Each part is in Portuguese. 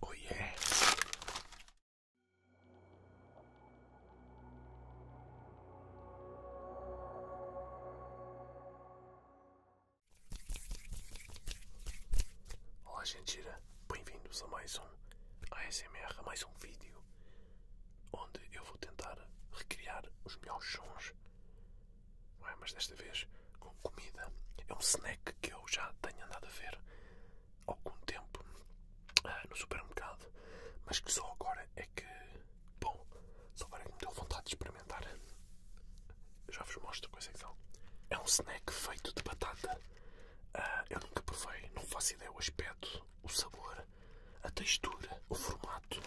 Oh Olá gente, bem-vindos a mais um ASMR, mais um vídeo onde eu vou tentar recriar os melhores sons. É? mas desta vez com comida. É um snack que eu já tenho andado a ver há algum tempo ah, no supermercado, mas que só agora é que. Bom, só agora é que me deu vontade de experimentar. já vos mostro a coisa que são. É um snack feito de batata. Ah, eu nunca provei, não faço ideia o aspecto, o sabor, a textura, o formato.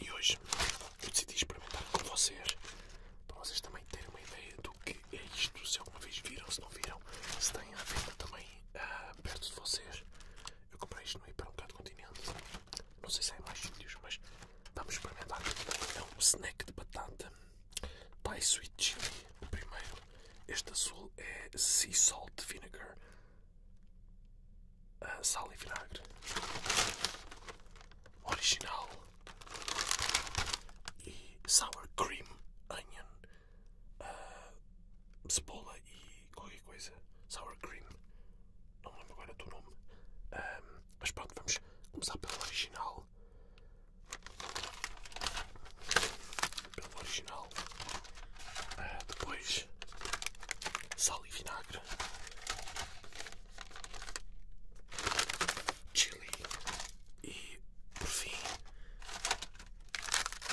E hoje eu decidi experimentar com vocês para vocês também terem uma ideia do que é isto, se alguma vez viram, se não viram, se têm a venda também ah, perto de vocês. Eu comprei isto no hipermercado Continente. Não sei se há é mais vídeos, mas vamos experimentar. É um snack de batata Thai Sweet Chili, o primeiro. Este azul é Sea Salt Vinegar sal e vinagre original e sour cream onion ah, cebola e qualquer coisa sour cream não me lembro agora do nome mas pronto vamos começar pelo original pelo original ah, depois sal e vinagre chili e, por fim,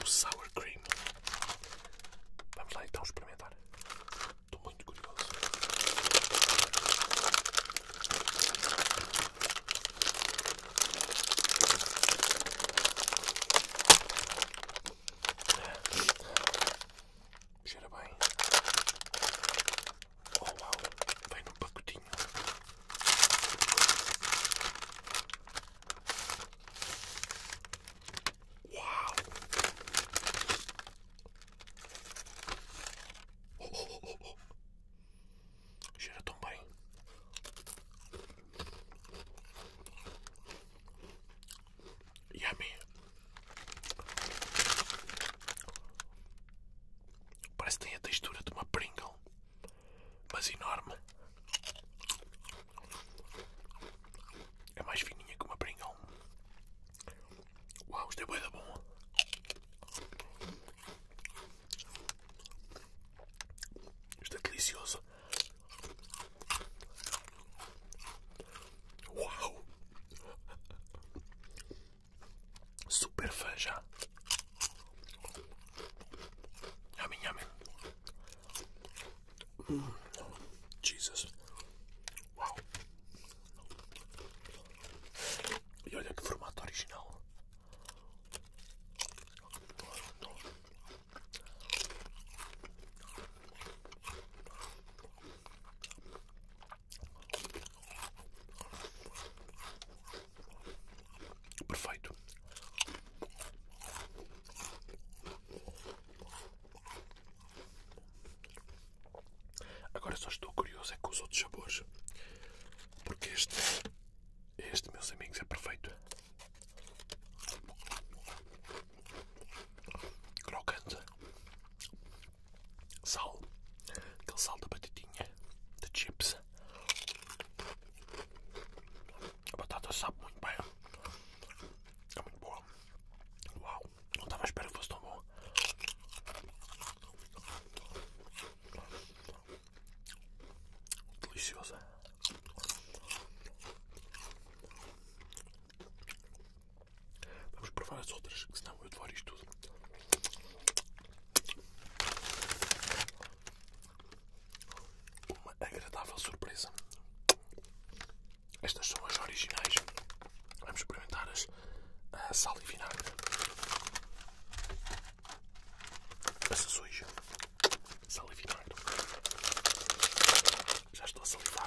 o sour cream. Vamos lá então experimentar. Estou muito curioso. Cheira bem. Oh uau, vem num pacotinho. Uau! oh, oh, oh. oh, oh. Cheira tão bem. Yummy. Parece que tem a textura de uma Pringle, mas enorme. É mais fininha que uma Pringle. Uau, isto é bué bom. Isto é delicioso. Uau! Super fã já. Yummy, yummy. Mm, Jesus. Uau! E olha que formato original. Perfeito. Agora só estou curioso é com os outros sabores, porque este, este meus amigos, é perfeito crocante, sal, aquele sal da batidinha de chips. A batata sabe muito bem, é muito boa. Uau, não estava à espera que fosse tão bom. Deliciosa. Vamos provar as outras, que senão eu devoro isto tudo. Uma agradável surpresa. Estas são as originais. Vamos experimentar as a sal e vinagre. Essa suja. Sal já estou a salivar.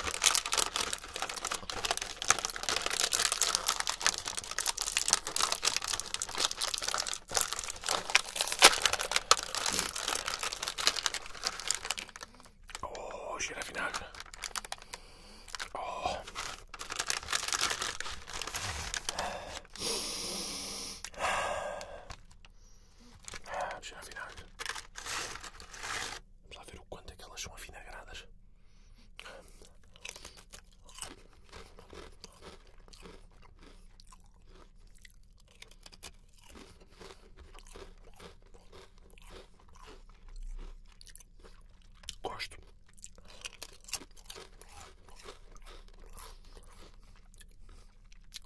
Oh, cheira a vinagre. Oh. Ah, cheira a Vamos lá ver o quanto é que elas são avinagradas. Gosto.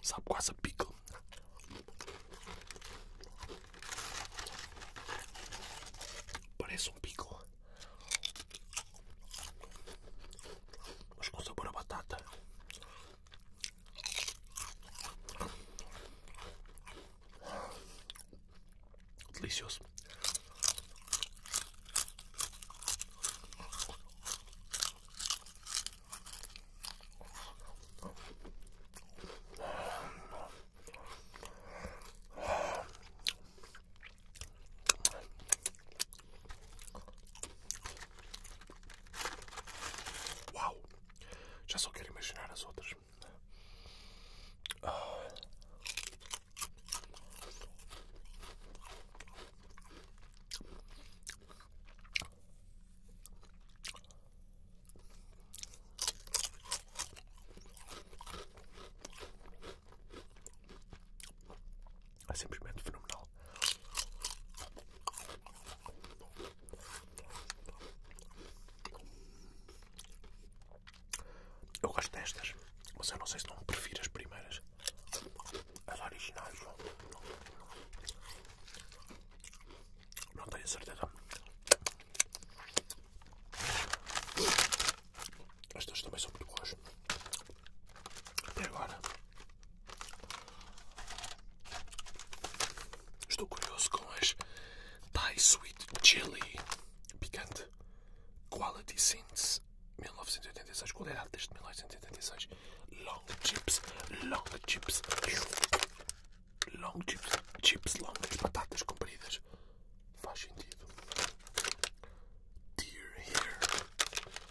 Sabe quase a pickle. Parece um pico, mas com sabor a batata. Delicioso. Uau! Já só quero imaginar as outras. É simplesmente fenomenal. Eu gosto destas, mas eu não sei se não prefiro as primeiras. As originais. Não tenho certeza. as duas também são muito boas. Até agora. Estou curioso com as Thai Sweet Chili Picante Quality Since 1986. Qualidade desde 1986 long chips, long chips, long chips, chips longas, batatas compridas. Faz sentido. Dear here.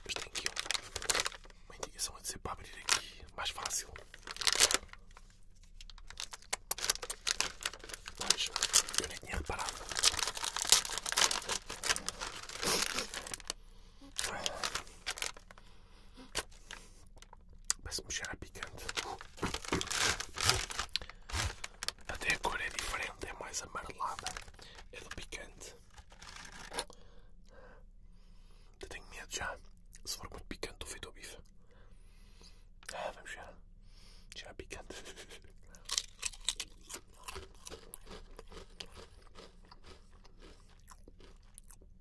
Mas tem aqui uma indicação a dizer para abrir aqui. Mais fácil. Mas eu nem tinha reparado. Vai se mexer a picante. Até a cor é diferente, é mais amarelada. É do picante. Eu tenho medo já. Se for muito picante, do feito ao bife. Ah, vamos já. Já picante.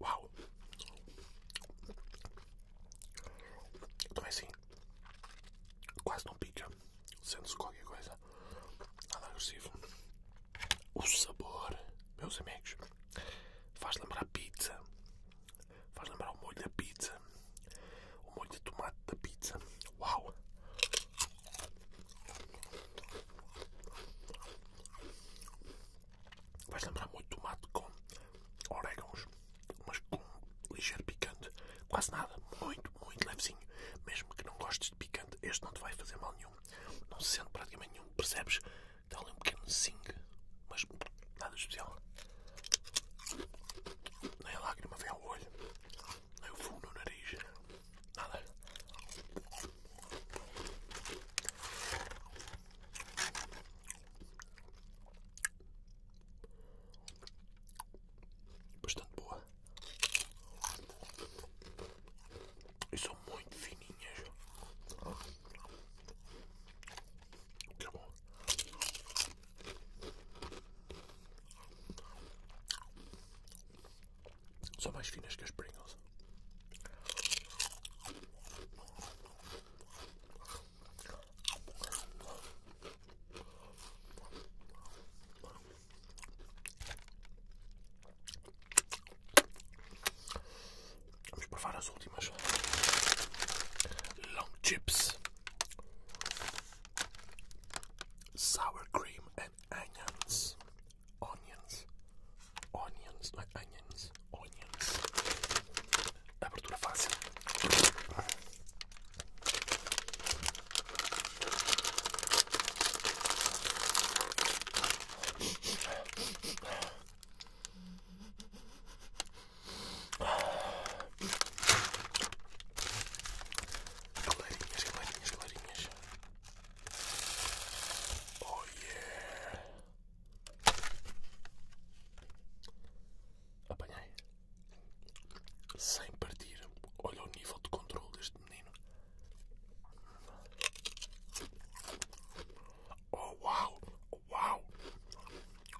Uau! Então é assim, quase não pica, sendo-se qualquer coisa, nada agressivo. O sabor, meus amigos, faz lembrar pizza, faz lembrar o molho da pizza, o molho de tomate da pizza. Uau! Vais lembrar muito tomate com orégãos, mas com ligeiro picante, quase nada, muito, muito levezinho. Mesmo que não gostes de picante, este não te vai fazer mal nenhum. Não se sente praticamente nenhum, percebes? Dá ali um pequeno zing, mas nada especial. Nem a lágrima vem ao olho. Eu fumo no nariz. Nada. Bastante boa. E são muito fininhas. Que bom. São mais finas que as Pringles. Vamos provar as últimas long chips. sour cream and onions, onions, onions, like onions, onions. Apertura fácil. Galerinhas, galerinhas, galerinhas. Oh yeah! Apanhei. Sem partir. Olha o nível de controle deste menino. Oh Wow. Uau! Wow.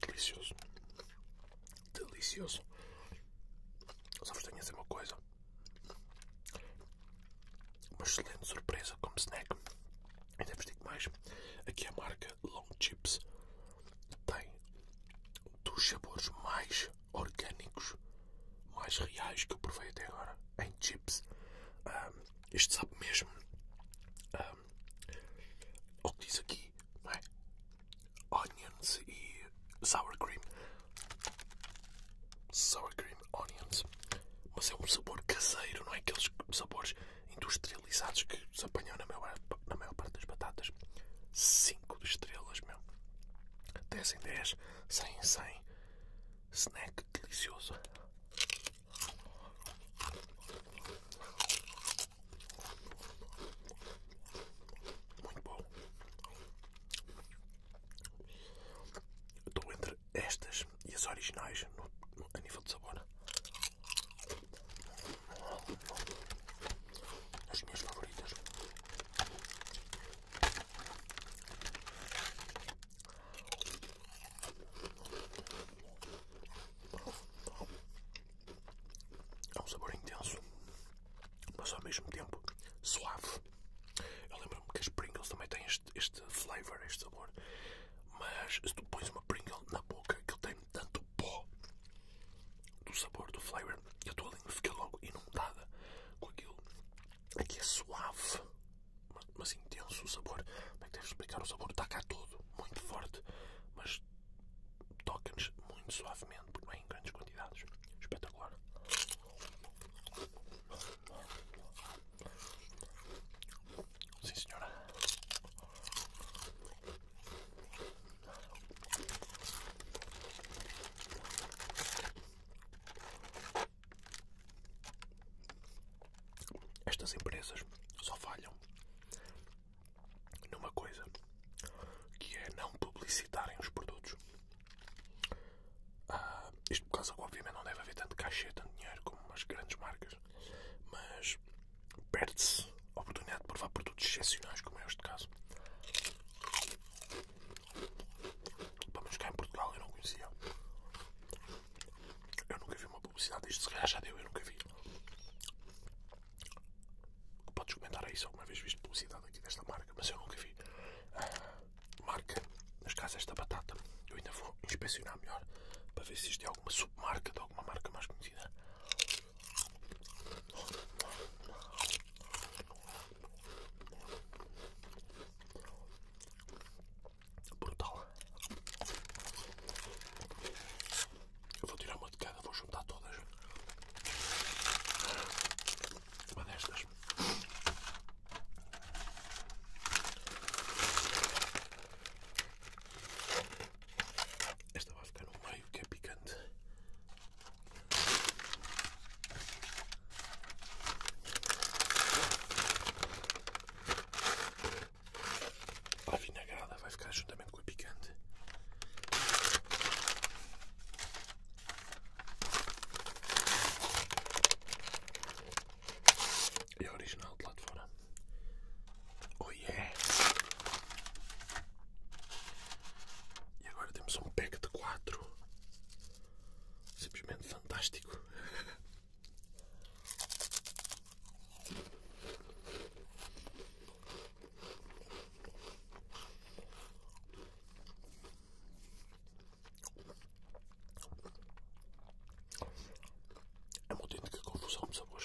Delicioso. Delicioso. Só vos tenho a dizer uma coisa. Uma excelente surpresa como snack. Ainda vos digo mais. Aqui a marca Long Chips tem dos sabores mais orgânicos mais reais que eu provei até agora em chips. Um, este sabe mesmo um, que diz aqui, não é? Onions e sour cream. Sour cream onions. Mas é um sabor caseiro, não é aqueles sabores industrializados que se apanham na maior, parte das batatas. 5 estrelas, meu. 10 em 10, 100 em 100 snack delicioso. Muito bom. Estou entre estas e as originais no, a nível de sabor. As minhas favoritas. É um sabor intenso, mas ao mesmo tempo suave. Eu lembro-me que as Pringles também têm este, este flavor, este sabor. Mas se tu pões uma Pringle na boca, que ele tem tanto pó do sabor, do flavor, que a tua língua fica logo inundada com aquilo. Aqui é suave, mas intenso o sabor. Como é que tens devo explicar? O sabor está cá todo, muito forte, mas toca-nos muito suavemente, porque não é em grandes quantidades. Espetacular. Sim, senhora. Estas empresas só falham numa coisa, que é não publicitarem os produtos. Ah, isto por causa que obviamente não deve haver tanto cachê, tanto dinheiro como as grandes marcas, mas perde-se a oportunidade de provar produtos excepcionais como é este caso. Vamos cá em Portugal, eu não conhecia. Eu nunca vi uma publicidade disto, se calhar já deu, eu nunca vi. Podes comentar aí é se alguma vez viste publicidade aqui desta marca, mas eu nunca vi. Uh, marca, nas casas da batata. Eu ainda vou inspecionar melhor para ver se isto é alguma submarca de alguma marca mais conhecida. Brutal. Eu vou tirar uma de cada, vou juntar todas. Uma destas. Esta vai ficar no meio que é picante. A vinagrada vai ficar juntamente com a picante. É original de lá de fora. Oi oh, é. E agora temos um pack de quatro. Simplesmente fantástico. É uma autêntica confusão de sabores.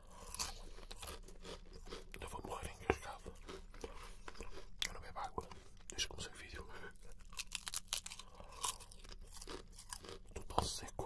Eu vou morrer engasgado. Eu não bebo água desde que comecei o vídeo. Estou tão seco.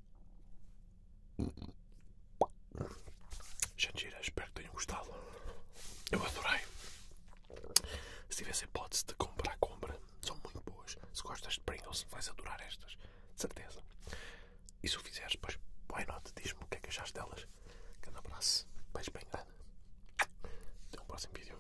Jandira, espero que tenham gostado. Eu adorei. Se tivesse hipótese de comprar, compra. São muito boas. Se gostas de Pringles, vais adorar estas. De certeza. E se o fizeres, pois, why nota, Diz-me o que é que achaste delas. Grande abraço. Beijo bem grande. Até o próximo vídeo.